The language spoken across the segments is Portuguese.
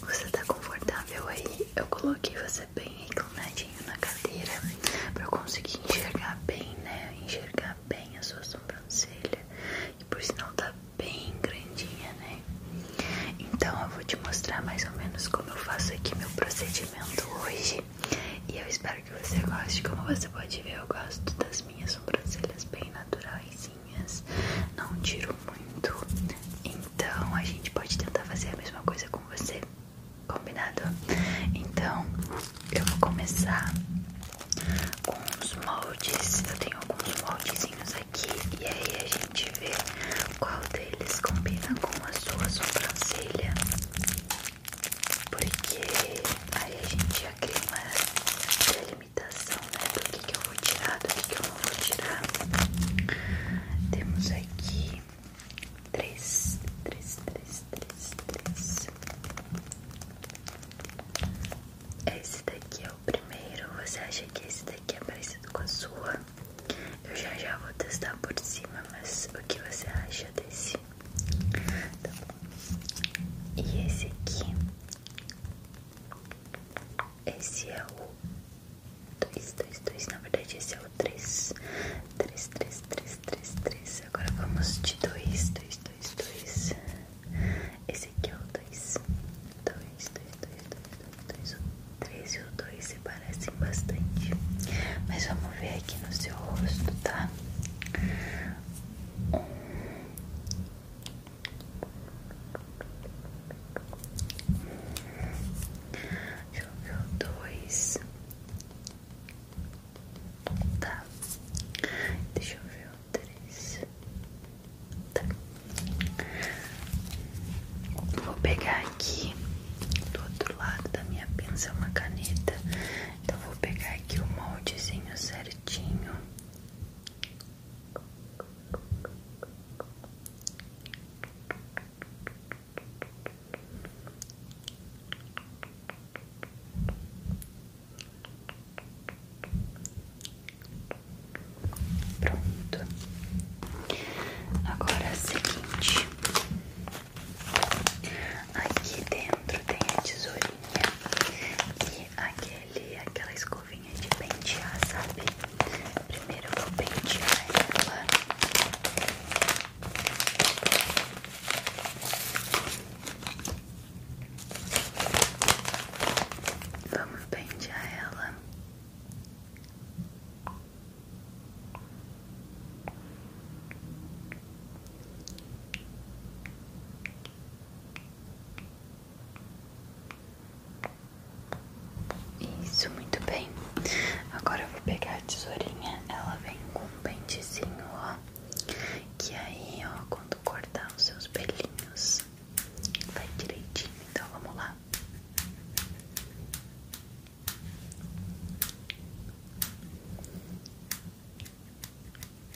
Você tá confortável aí? Eu coloquei você bem reclinadinho na cadeira pra eu conseguir enxergar bem, né? Enxergar bem a sua sobrancelha. E por sinal tá bem grandinha, né? Então eu vou te mostrar mais ou menos como eu faço aqui meu procedimento hoje. E eu espero que você goste. Como você pode ver, eu gosto das minhas sobrancelhas bem naturais não tiro muito. Então a gente pode tentar fazer a mesma coisa com você, combinado? Então eu vou começar com os moldes. Eu tenho alguns moldezinhos aqui e aí a gente vê qual deles combina com a sua sobrancelha. Porque aí a gente já cria uma limitação, né? Do que, eu vou tirar, do que, eu não vou tirar. Temos aqui três, três, três, três, três. Esse daqui é o primeiro. Você acha que esse daqui é parecido com a sua? Eu já já vou testar por cima, mas o que você acha desse? Tá bom. E esse aqui? Esse é o 2, 2, 2. Na verdade, esse é o 3. 3, 3, 3, 3, 3. Agora vamos de 2, 2, 2, 2. Esse aqui é o 2. 2, 2, 2, 2, 2, 2. O 3 e o 2 se parecem bastante. Mas vamos ver aqui no seu rosto, tá? 1, Deixa eu Choveu dois. Tá. Deixa eu ver o três. Tá. Vou pegar aqui do outro lado da minha pinça uma caneta. Então vou pegar aqui o moldezinho certinho. Pronto. Agora é seguinte. Aqui dentro tem a tesourinha e aquele, aquela escova escovinha de pentear, sabe? Primeiro eu vou pentear ela. Vamos pentear ela. Isso, muito bem. Agora eu vou pegar a tesourinha, ela vem com um pentezinho, ó. Que aí, ó, quando cortar os seus pelinhos, vai direitinho. Então vamos lá.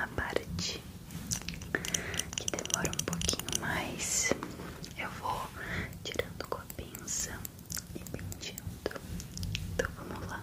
a parte que demora um pouquinho mais, eu vou tirando com a pinça e penteando. Então vamos lá.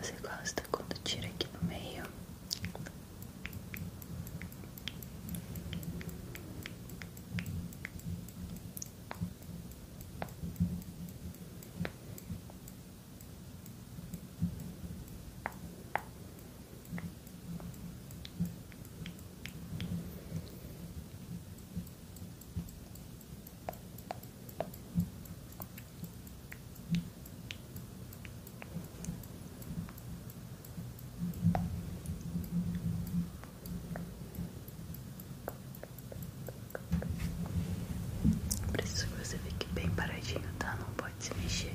Você gosta quando tira aqui no meio? Preciso que você fique bem paradinho, tá? Não pode se mexer.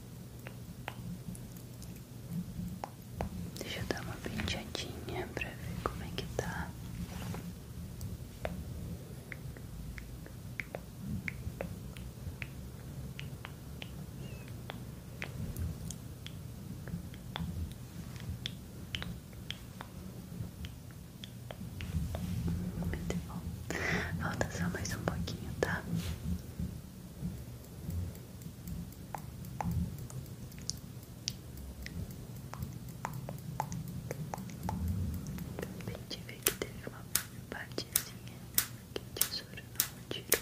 Deixa eu dar uma penteadinha pra ver como é que tá bom. Falta só mais um pouquinho, tá? Acabei de ver que teve uma partezinha que o tesouro não tirou.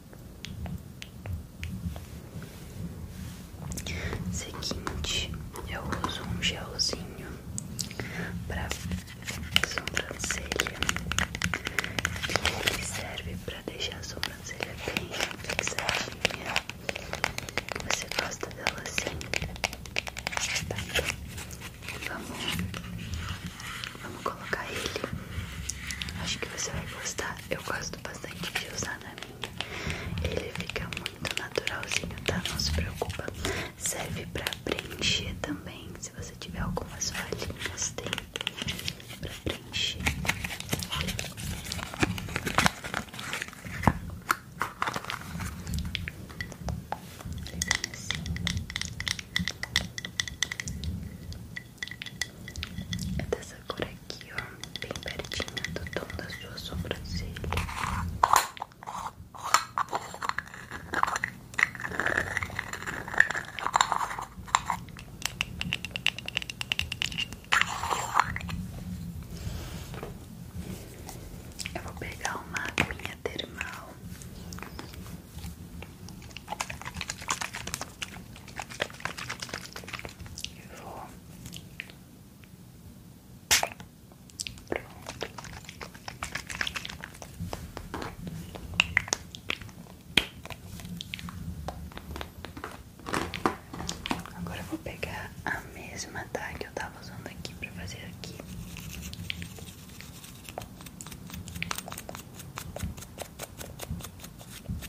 Seguinte, eu uso um gelzinho para sobrancelha que ele serve para deixar a sobrancelha bem fixadinha. Você gosta dela assim? Tá, então vamos, vamos colocar ele. Acho que você vai gostar eu gosto bastante de usar na minha. Ele fica muito naturalzinho, tá? Não se preocupa. Serve pra preencher também. Se você tiver algumas falhinhas, tem pra preencher. Assim. É dessa cor aqui, ó, bem pertinho do tom da sua sobrancelha. Eu vou pegar uma agulha termal vou. Pronto. Agora eu vou pegar a mesma tá que eu tava usando aqui para fazer aqui.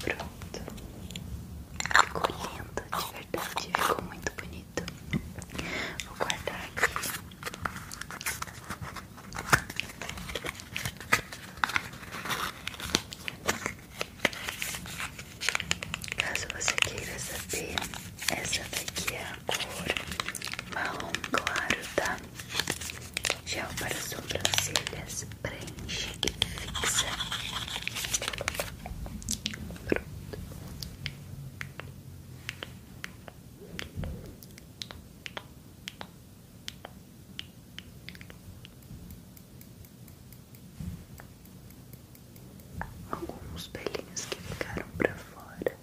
Pronto. Ficou lindo, de verdade. Ficou muito bonito. Vou guardar aqui. Caso você queira saber essa daqui é a cor marrom claro, tá? Gel para sobrancelhas, preenche e fixa alguns pelinhos que ficaram para fora.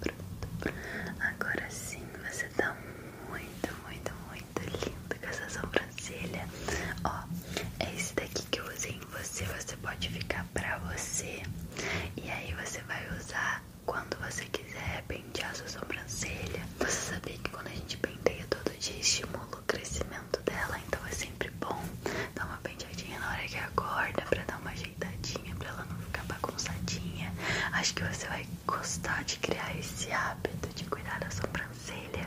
Pronto. Agora sim, você tá muito, muito, muito lindo com essa sobrancelha. Ó, é esse daqui que eu usei em você. Você pode ficar pra você. E aí você vai usar quando você quiser, é bem pentear a sua sobrancelha. Você sabia que quando a gente penteia todo dia estimula o crescimento dela, então é sempre bom dar uma penteadinha na hora que acorda pra dar uma ajeitadinha, pra ela não ficar bagunçadinha. Acho que você vai gostar de criar esse hábito de cuidar da sobrancelha.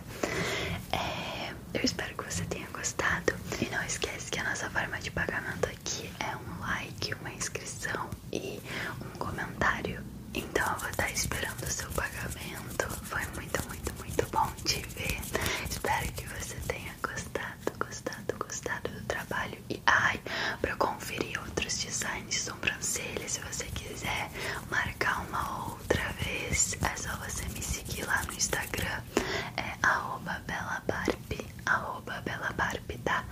É, eu espero que você tenha gostado. E não esquece que a nossa forma de pagamento aqui é um like, uma inscrição e um comentário. Então eu vou estar esperando o seu pagamento. Foi muito, muito, muito bom te ver. Espero que você tenha gostado, gostado, gostado do trabalho. E ai, para conferir outros designs de sobrancelha, se você quiser marcar uma outra vez, é só você me seguir lá no Instagram. É arroba belabarbe, arroba tá?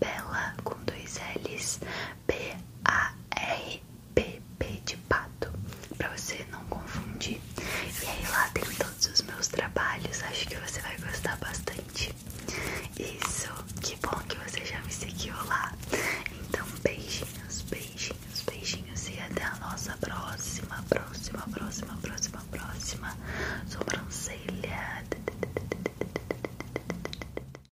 Bela com dois L's, B-A-R-B. PP de pato, pra você não confundir. E aí lá tem todos os meus trabalhos, acho que você vai gostar bastante. Isso, que bom que você já me seguiu lá. Então, beijinhos, beijinhos, beijinhos e até a nossa próxima, próxima, próxima, próxima, próxima sobrancelha.